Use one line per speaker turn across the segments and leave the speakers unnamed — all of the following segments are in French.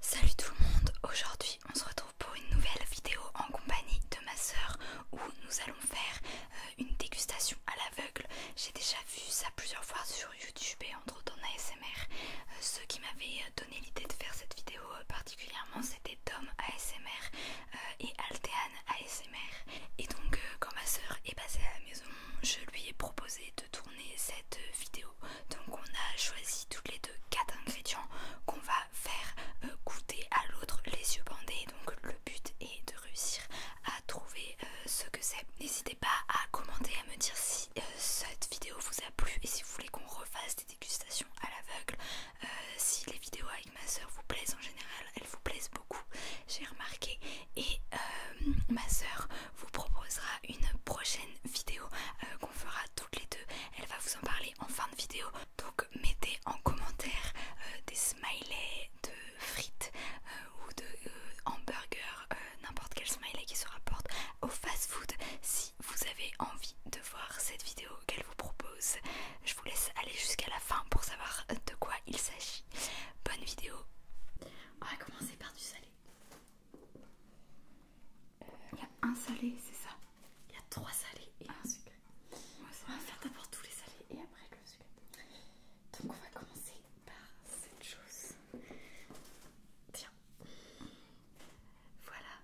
Salut tout le monde, aujourd'hui on se retrouve pour une nouvelle vidéo en compagnie de ma sœur où nous allons faire euh, une dégustation à l'aveugle. J'ai déjà vu ça plusieurs fois sur YouTube et entre autres en ASMR. Euh, ceux qui m'avaient euh, donné l'idée de faire cette vidéo particulièrement c'était Tom ASMR et Altean ASMR. Et donc quand ma sœur est passée à la maison, je lui ai proposé de tourner cette vidéo. Donc on a choisi toutes les deux quatre ingrédients qu'on va faire euh, goûter à l'autre les yeux bandés. Donc le but est de réussir à trouver euh, ce que c'est. N'hésitez pas à commenter, à me dire si euh, cette vidéo vous a plu et si vous voulez qu'on refasse des dégustations à l'aveugle. si les vidéos avec ma soeur vous plaisent en général, elles vous plaisent beaucoup, j'ai remarqué. Et ma soeur vous proposera une prochaine vidéo euh, qu'on fera toutes les deux. Elle va vous en parler en fin de vidéo. Donc mettez en commentaire euh, des smileys de frites euh, ou de hamburgers, n'importe quel smiley qui se rapporte au fast-food si vous avez envie de voir cette vidéo qu'elle vous propose. Je vous laisse aller jusqu'à la fin pour savoir de quoi il s'agit. Bonne vidéo. On va commencer par du salé. Il euh, y a un salé, c'est ça Il y a trois salés et un ah, sucré. on va faire d'abord tous les salés et après le sucré. Donc on va commencer par cette chose. Tiens. Voilà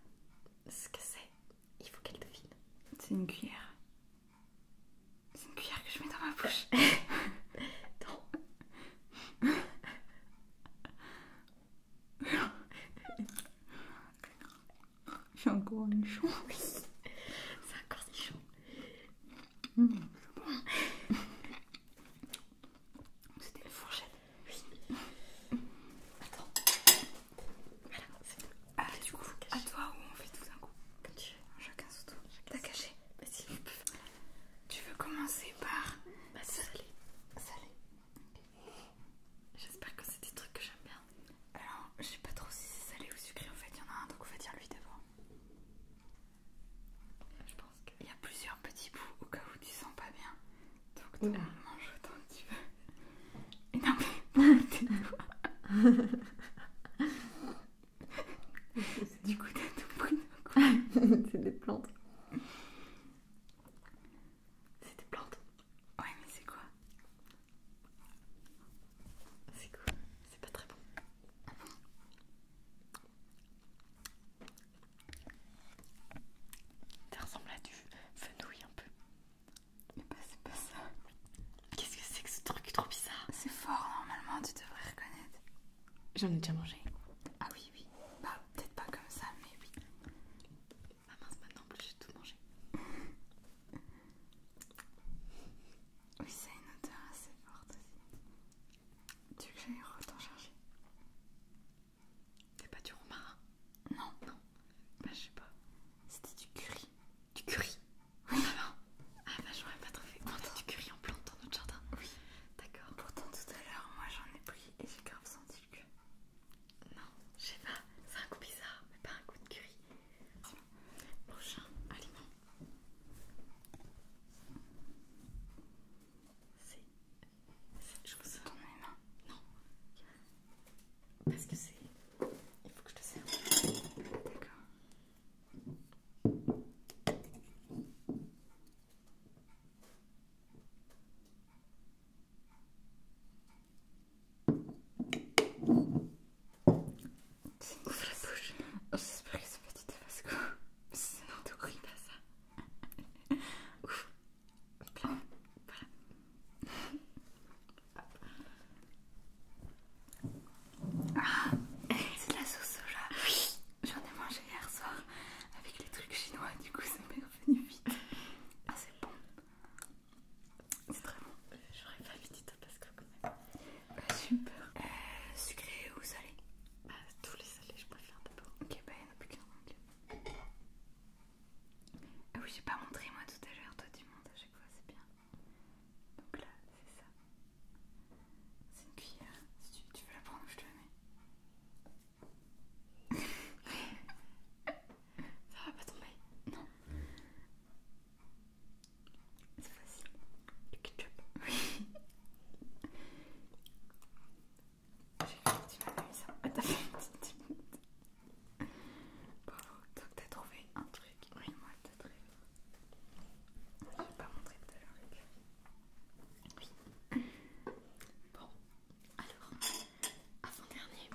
ce que c'est. Il faut qu'elle devine. C'est une cuillère. C'est une cuillère que je mets dans ma bouche. J'ai encore les chaud. Oui, c'est encore si chaud. Mmh. C'était la fourchette. Oui. Attends. Voilà, c'est ah, du coup, à toi ou on fait tout d'un coup Comme tu Chacun son tour. T'as caché Vas-y. Tu veux commencer par bah, salé. Salé. J'espère que c'est des trucs que j'aime bien. Alors, je sais pas trop si c'est salé ou sucré en fait. Il y en a un, donc on va dire lui d'abord. Je pense qu'il y a plusieurs petits bouts au cas où tu sens pas bien. Donc, tu manges autant que tu veux. Et non, mais. c'est du coup t'as tout quoi. C'est des plantes. C'est des plantes Ouais, mais c'est quoi C'est quoi C'est pas très bon. Ça ressemble à du fenouil un peu. Mais bah, c'est pas ça. Qu'est-ce que c'est que ce truc trop bizarre C'est fort normalement, tu devrais reconnaître. J'en ai déjà mangé. Ah oui, oui. Bah, peut-être pas comme ça, mais oui. Ah mince, maintenant en plus j'ai tout mangé. oui, ça a une odeur assez forte aussi. Tu veux que j'aille retourner chercher C'est pas du romarin Non. Non. Bah, je sais pas. C'était du curry. Du curry Oui. Ah, bah, je ah bah j'aurais pas trouvé. On du curry en plante dans notre jardin. Oui. D'accord. Pourtant tout à l'heure, moi j'en ai pris et j'ai grave senti le cul. Non, je sais pas. C'est un coup bizarre, mais pas un coup de curry. Prochain aliment. C'est cette chose. mes mains Non. Parce que c'est... Il faut que je te sers. D'accord. Ouvre la bouche. J'espère que c'est pas ça. Ouf. Voilà. Ah, c'est de la sauce soja. j'en ai mangé hier soir avec les trucs chinois, du coup ça m'est revenu vite. Ah, c'est bon. C'est très bon. Euh, j'aurais pas mis du que quand même. super. Euh, sucré ou salé bah, tous les salés, je préfère d'abord. Ok, bah, y'en a plus qu'un. angle. Ah oui, j'ai pas montré moi tout à l'heure, toi du monde. à chaque fois, c'est bien. Donc là, c'est ça. C'est une cuillère. Si tu, veux la prendre, je te la mets. Ça va pas tomber Non. C'est facile. Du ketchup. Oui. J'ai un petit peu de mis ça. Ah, t'as fait une petite Bravo, donc t'as trouvé un truc. Oui, moi, t'as trouvé. Je ne vais pas montrer tout à l'heure. Oui. Bon, alors, avant-dernier.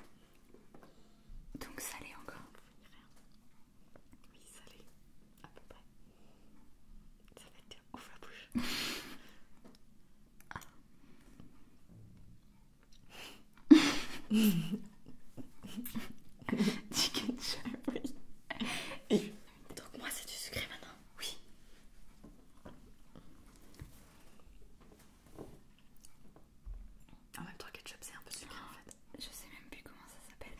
Donc salé encore. Oui, salé, à peu près. Ça va être ouf la bouche. Ah. Chicken cherry. Et donc moi c'est du sucré maintenant. Oui. En même temps, ketchup c'est un peu sucré en fait. Je sais même plus comment ça s'appelle.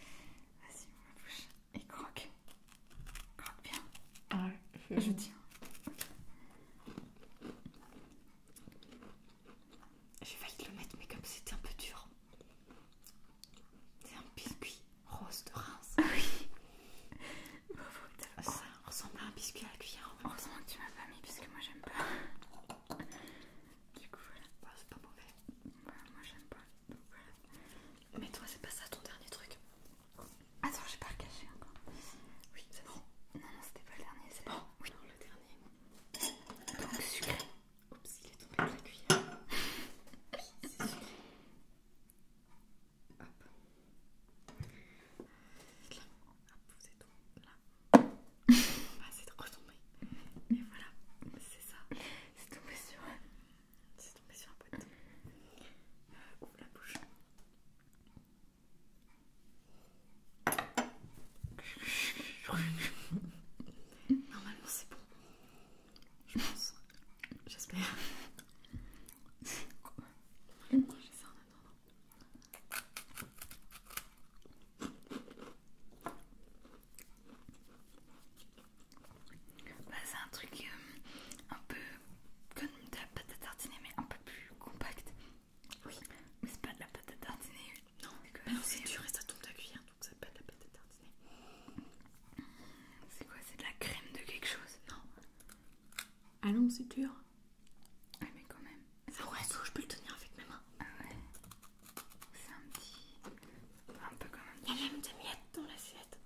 Vas-y, on va bouche et croque. Croque bien. je tiens. J'ai failli le mettre, mais comme c'était un peu dur, c'est un biscuit rose de Reims. Ah oui. Ah, ça ressemble à un biscuit à la cuillère. En Heureusement que tu m'as pas mis puisque moi j'aime pas. Du coup voilà. Bah, c'est pas mauvais. moi j'aime pas. Mais toi c'est pas ça ton dernier truc. Attends, j'ai pas le recaché encore. Oui, c'est bon. Non, non, c'était pas le dernier. C'est oh, bon. non, le dernier. Donc sucré. Oups, il est tombé sur la cuillère. C'est sûr. Hop. Là. Hop, vous êtes Là. Ah, c'est retombé. Et voilà, c'est ça. C'est tombé sur un... C'est tombé sur un pote. Euh, ouvre la bouche. Normalement, c'est bon. Je pense. J'espère. en Bah, c'est un truc euh, un peu comme de la pâte à tartiner, mais un peu plus compact. Oui, mais c'est pas de la pâte à tartiner non, c'est dur et ça tombe ta cuillère donc ça pète la pâte à tartiner. C'est quoi C'est de la crème de quelque chose Non. Allons, c'est dur. Ouais, mais quand même. C'est un je peux le tenir avec mes mains. Ah ouais. C'est un petit. Un peu comme un petit. Il y a même des miettes dans l'assiette.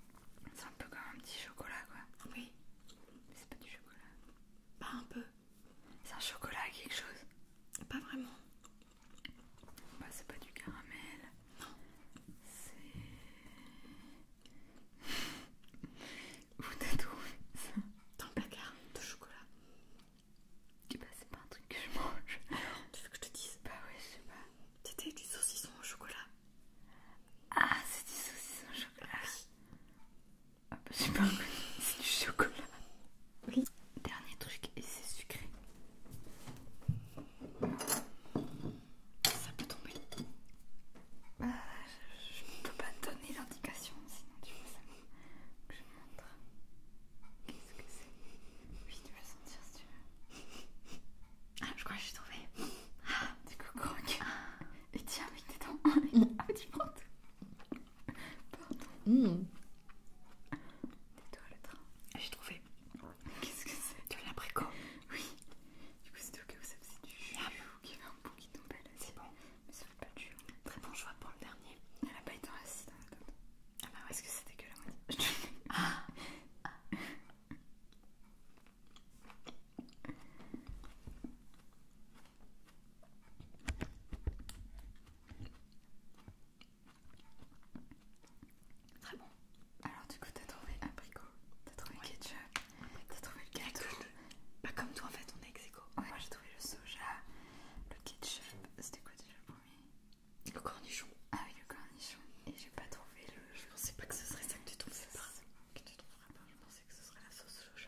C'est un peu comme un petit chocolat quoi. Oui. Mais c'est pas du chocolat. Pas un peu. C'est un chocolat à quelque chose. Pas vraiment. Bah, c'est pas du caramel. C'est. Vous t'as trouvé ça Dans le placard de chocolat. Bah, c'est pas un truc que je mange. tu veux que je te dise Bah, ouais, je sais pas. C'était du saucisson au chocolat. Ah, c'est du saucisson au chocolat. Ah, bah, C'est du chocolat. Oui, dernier truc et c'est sucré. Ça peut tomber. Ah, je ne peux pas donner l'indication sinon tu veux ça. Je te montre. Qu'est-ce que c'est Oui, tu vas sentir si tu veux. Ah, je crois que j'ai trouvé. Ah, du coup, Et tiens, avec tes dents. Ah, tu prends tout. Pardon. Hmm. Tais-toi le train. J'ai trouvé. Qu'est-ce que c'est Tu De l'abricot. Oui. Du coup, c'est au cas où ça faisait du jus. il y avait un bout qui tombait là. C'est bon. Mais ça fait pas du jus. Très bon choix pour le dernier. Elle a pas été dans la Ah bah ouais. Est-ce que c'était que la moitié Ah, ah. Très bon. Alors du coup, t'as trouvé abricot, t'as trouvé le ketchup, t'as trouvé le gâteau. Pas comme toi en fait, on est ex Moi j'ai trouvé le soja, le ketchup, c'était quoi déjà le premier Le cornichon. Ah oui, le cornichon. Et j'ai pas trouvé le... Je pensais pas que ce serait ça que tu trouverais ça Que tu trouveras pas, je pensais que ce serait la sauce soja.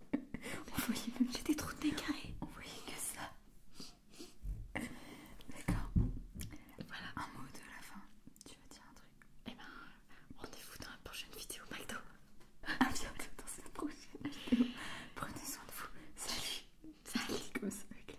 On voyait même J'ai des trous de nez carrés. On voyait que ça. D'accord. Voilà. Un mot de la fin. Tu vas dire un truc Eh ben, rendez-vous dans la prochaine vidéo McDo. À bientôt dans cette prochaine vidéo. Prenez soin de vous. Salut. Salut. Comme ça avec les